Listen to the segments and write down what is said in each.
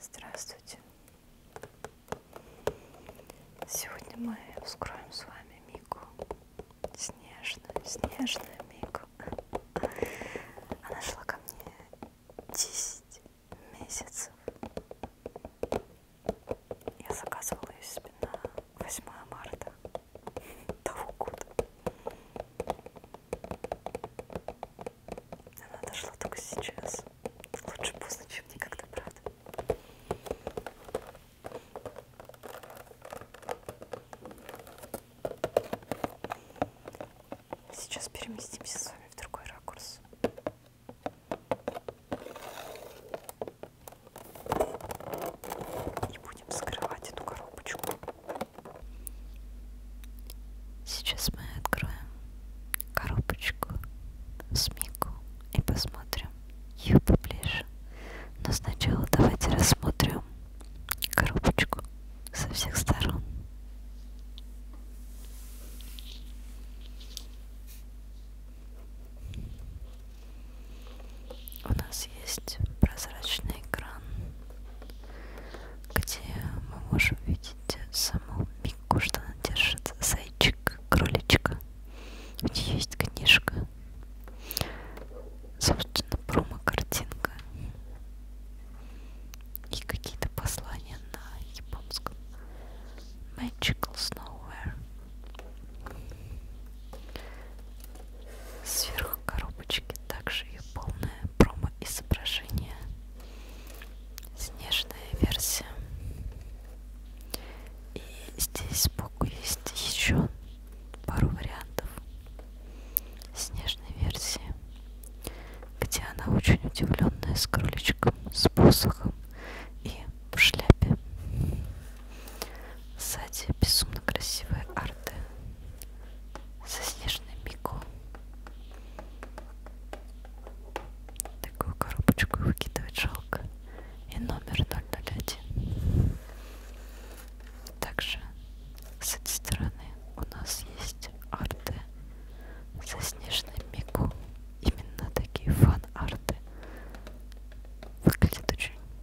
Здравствуйте. Сегодня мы вскроем с вами Мику. Снежную, снежную Мику. Она шла ко мне 10 месяцев. Я заказывала ее себе на 8 марта того года. Она дошла только сейчас. Лучше поздно, чем никогда, правда? Сейчас переместимся с вами в другой ракурс. И будем скрывать эту коробочку. Сейчас мы откроем коробочку с Мику и посмотрим ее поближе. Но сначала давайте рассмотрим коробочку со всех сторон. У нас есть прозрачный экран, где мы можем видеть саму Микку, что она держит зайчик, кроличка. У нее есть книжка. Собственно, промо-картинка. И какие-то послания на японском. Magical Snowware. Сверху коробочки также ее полное промо-изображение. Снежная версия. И здесь сбоку есть еще пару вариантов снежной версии, где она очень удивленная с кроличком, с посохом и в шляпе. Сзади безумно красивые арты со снежным пико. Такую коробочку выкидывать жалко. И номер 001. Также с этой стороны у нас есть арты со снежным пико. Именно такие фан-арты. Выглядит очень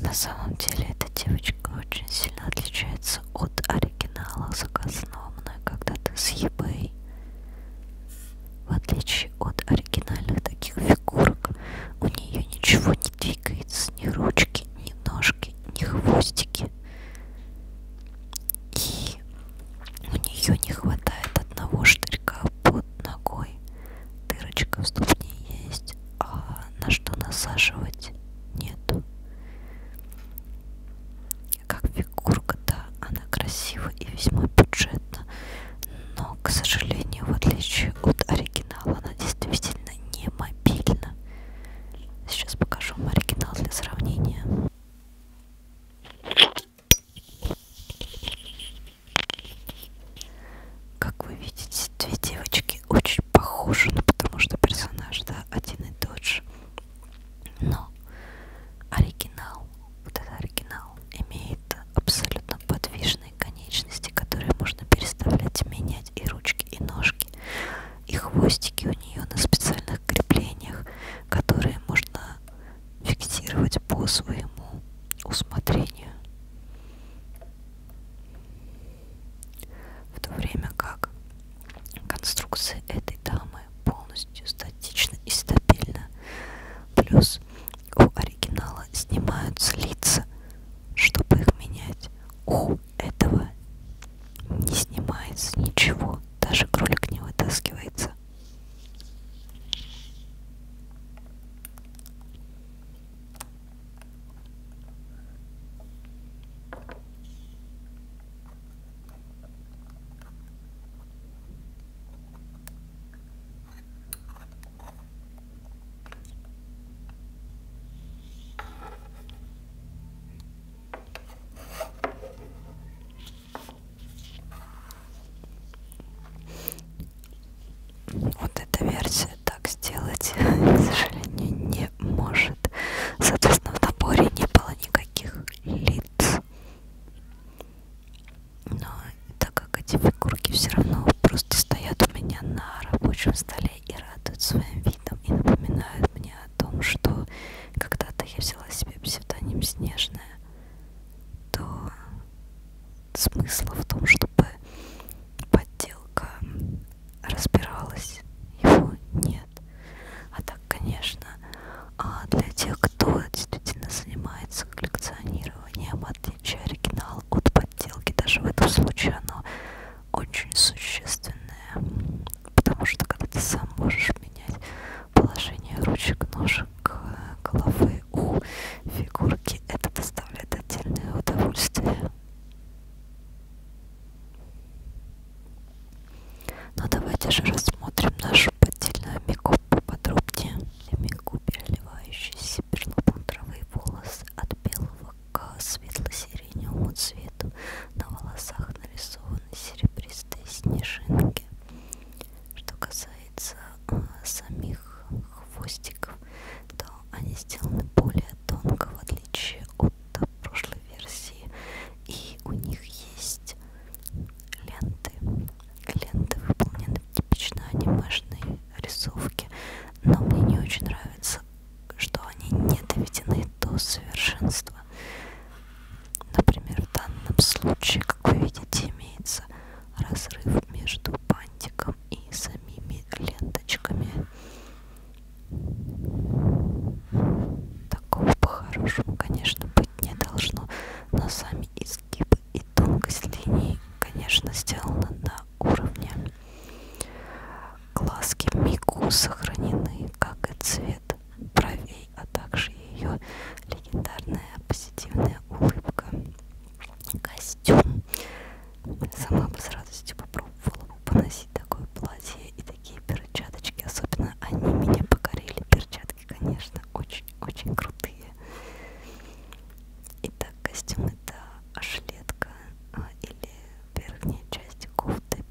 На самом деле эта девочка очень сильно отличается от оригиналах заказном, когда-то с eBay. В отличие от оригинальных таких фигурок, у нее ничего не двигается, ни ручки, ни ножки, ни хвостики. И у нее не хватает одного штырька под ногой. Дырочка в ступне есть, а на что насаживать нету. Как фигурка, да, она красива и весьма бюджетна, но, к сожалению, в отличие от оригинала, она действительно не мобильна. Сейчас покажу вам оригинал для сравнения. Как вы видите, две девочки очень похожи, ну, потому что персонаж, да, один и тот же. Но оригинал, вот этот оригинал, имеет абсолютно подвижные конечности, которые можно переставлять, менять и ручки, и ножки, и хвостики у нее на специальных креплениях, которые можно фиксировать по своему усмотрению. В то время как конструкция этой дамы полностью статична и стабильна. Плюс у оригинала снимаются лица, чтобы их менять. У этого не снимается ничего, даже кролик не вытаскивается. Вот эта версия так сделать, к сожалению, не может. Соответственно, в наборе не было никаких лид. Но так как эти фигурки все равно просто стоят у меня на рабочем столе и радуют своим видом и напоминают мне о том, что когда-то я взяла себе псевдоним Снежная, то смысла в том, чтобы подделка разбиралась, его нет. А так, конечно, а для тех, кто действительно занимается коллекционированием, отличие оригинала от подделки, даже в этом случае оно очень существенное, потому что когда ты сам можешь менять положение ручек, ножек, головы у фигурки, это доставляет отдельное удовольствие. Но ну, давайте же рассмотрим нашу поддельную Мику поподробнее. Мику, переливающиеся перламутровые волосы от белого к светло-сиреневому цвету. На волосах нарисованы серебристые снежинки. Что касается э, самих хвостиков, то они сделаны более тонко, в отличие от прошлой версии. И у них есть ленты. Ленты выполнены типично анимешные рисовки. Но мне не очень нравится, что они не доведены до совершенства. Например, в данном случае, как вы видите, имеется разрыв между бантиком и самими ленточками. Такого по-хорошему, конечно, быть не должно, но сами изгибы и тонкость линий, конечно, сделаны на уровне. Глазки Мику сохранены, как и цвет бровей, а также ее легендарная позитивная улыбка. Костюм. Сама бы с радостью попробовала бы поносить такое платье и такие перчаточки, особенно они меня покорили. Перчатки, конечно, очень-очень крутые. Итак, костюм это ашлетка а, или верхняя часть кофты,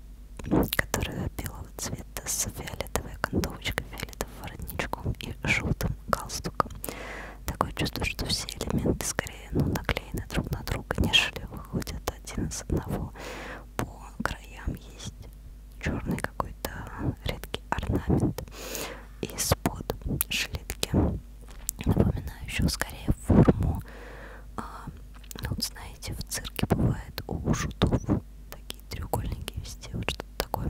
которая белого цвета с фиолетовой окантовочкой, фиолетовым воротничком и желтым галстуком. Такое чувство, что все элементы скорее ну, наклеены друг на друга, нежели выходят один из одного по краям есть черный какой-то редкий орнамент из-под жилетки, напоминающего скорее форму. А, ну, вот знаете, в цирке бывает у шутов такие треугольники везде, вот что-то такое.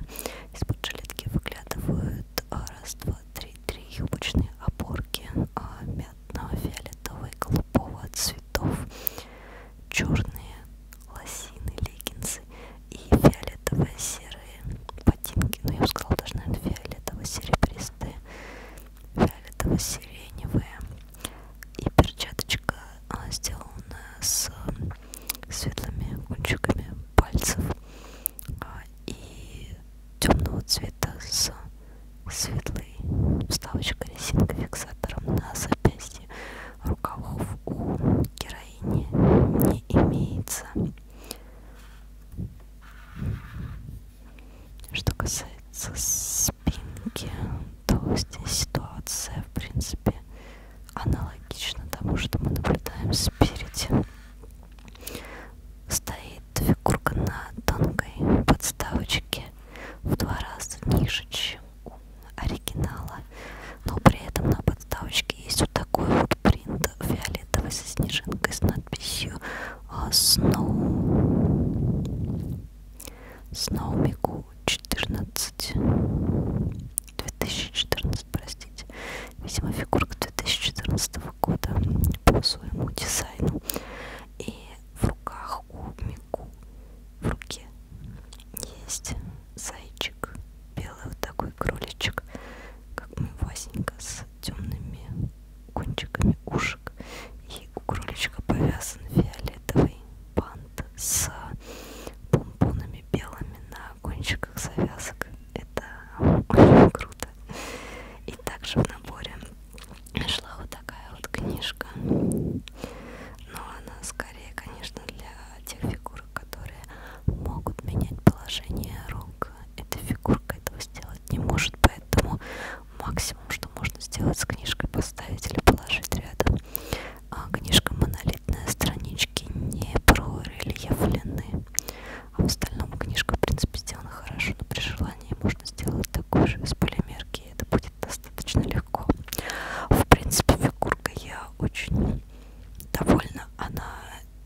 Из-под жилетки выглядывают а, раз, два, три, три юбочные опорки а, мятного, фиолетового и голубого цветов черные лосины, леггинсы и фиолетово-серые ботинки. Ну, я бы сказала, даже, наверное, фиолетово-серебристые, фиолетово-сиреневые. И перчаточка а, сделана с светлыми кончиками пальцев а, и темного цвета с светлой вставочкой резинкой фиксатором на запястье рукавов у героини не имеется. Что касается спинки, то здесь ситуация, в принципе, аналогична тому, что мы наблюдаем спереди. Стоит фигурка на тонкой подставочке в два раза ниже, чем у оригинала, но при этом на подставочке есть вот такой вот принт фиолетовый со снежинкой с надписью Snow Snowmiku 14 2014, простите. Видимо, фигурка 2014 года по своему дизайну. И в руках у руку в руке есть зайчик, белый вот такой кроличек, как мы Васенька с темными кончиками ушек. И у кроличка повязан фиолетовый бант с помпонами белыми на кончиках завязок. Это очень круто. И также в наборе шла вот такая вот книжка. Но она скорее, конечно, важно для тех фигурок, которые могут менять положение рук. Эта фигурка этого сделать не может, поэтому максимум, что можно сделать с книжкой, поставить или положить рядом. А книжка монолитная, странички не прорельефлены. А в остальном книжка, в принципе, сделана хорошо, но при желании можно сделать такую же из полимерки, и это будет достаточно легко. В принципе, фигурка я очень довольна. Она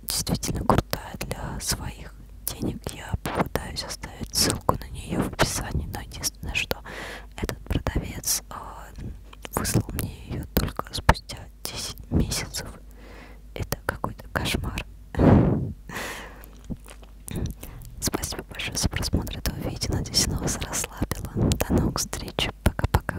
действительно крутая для своих денег. Я попытаюсь оставить ссылку на нее в описании, но единственное, что этот продавец а, выслал мне ее только спустя 10 месяцев. Это какой-то кошмар. Спасибо большое за просмотр этого видео. Надеюсь, оно вас расслабило. До новых встреч общем, пока-пока.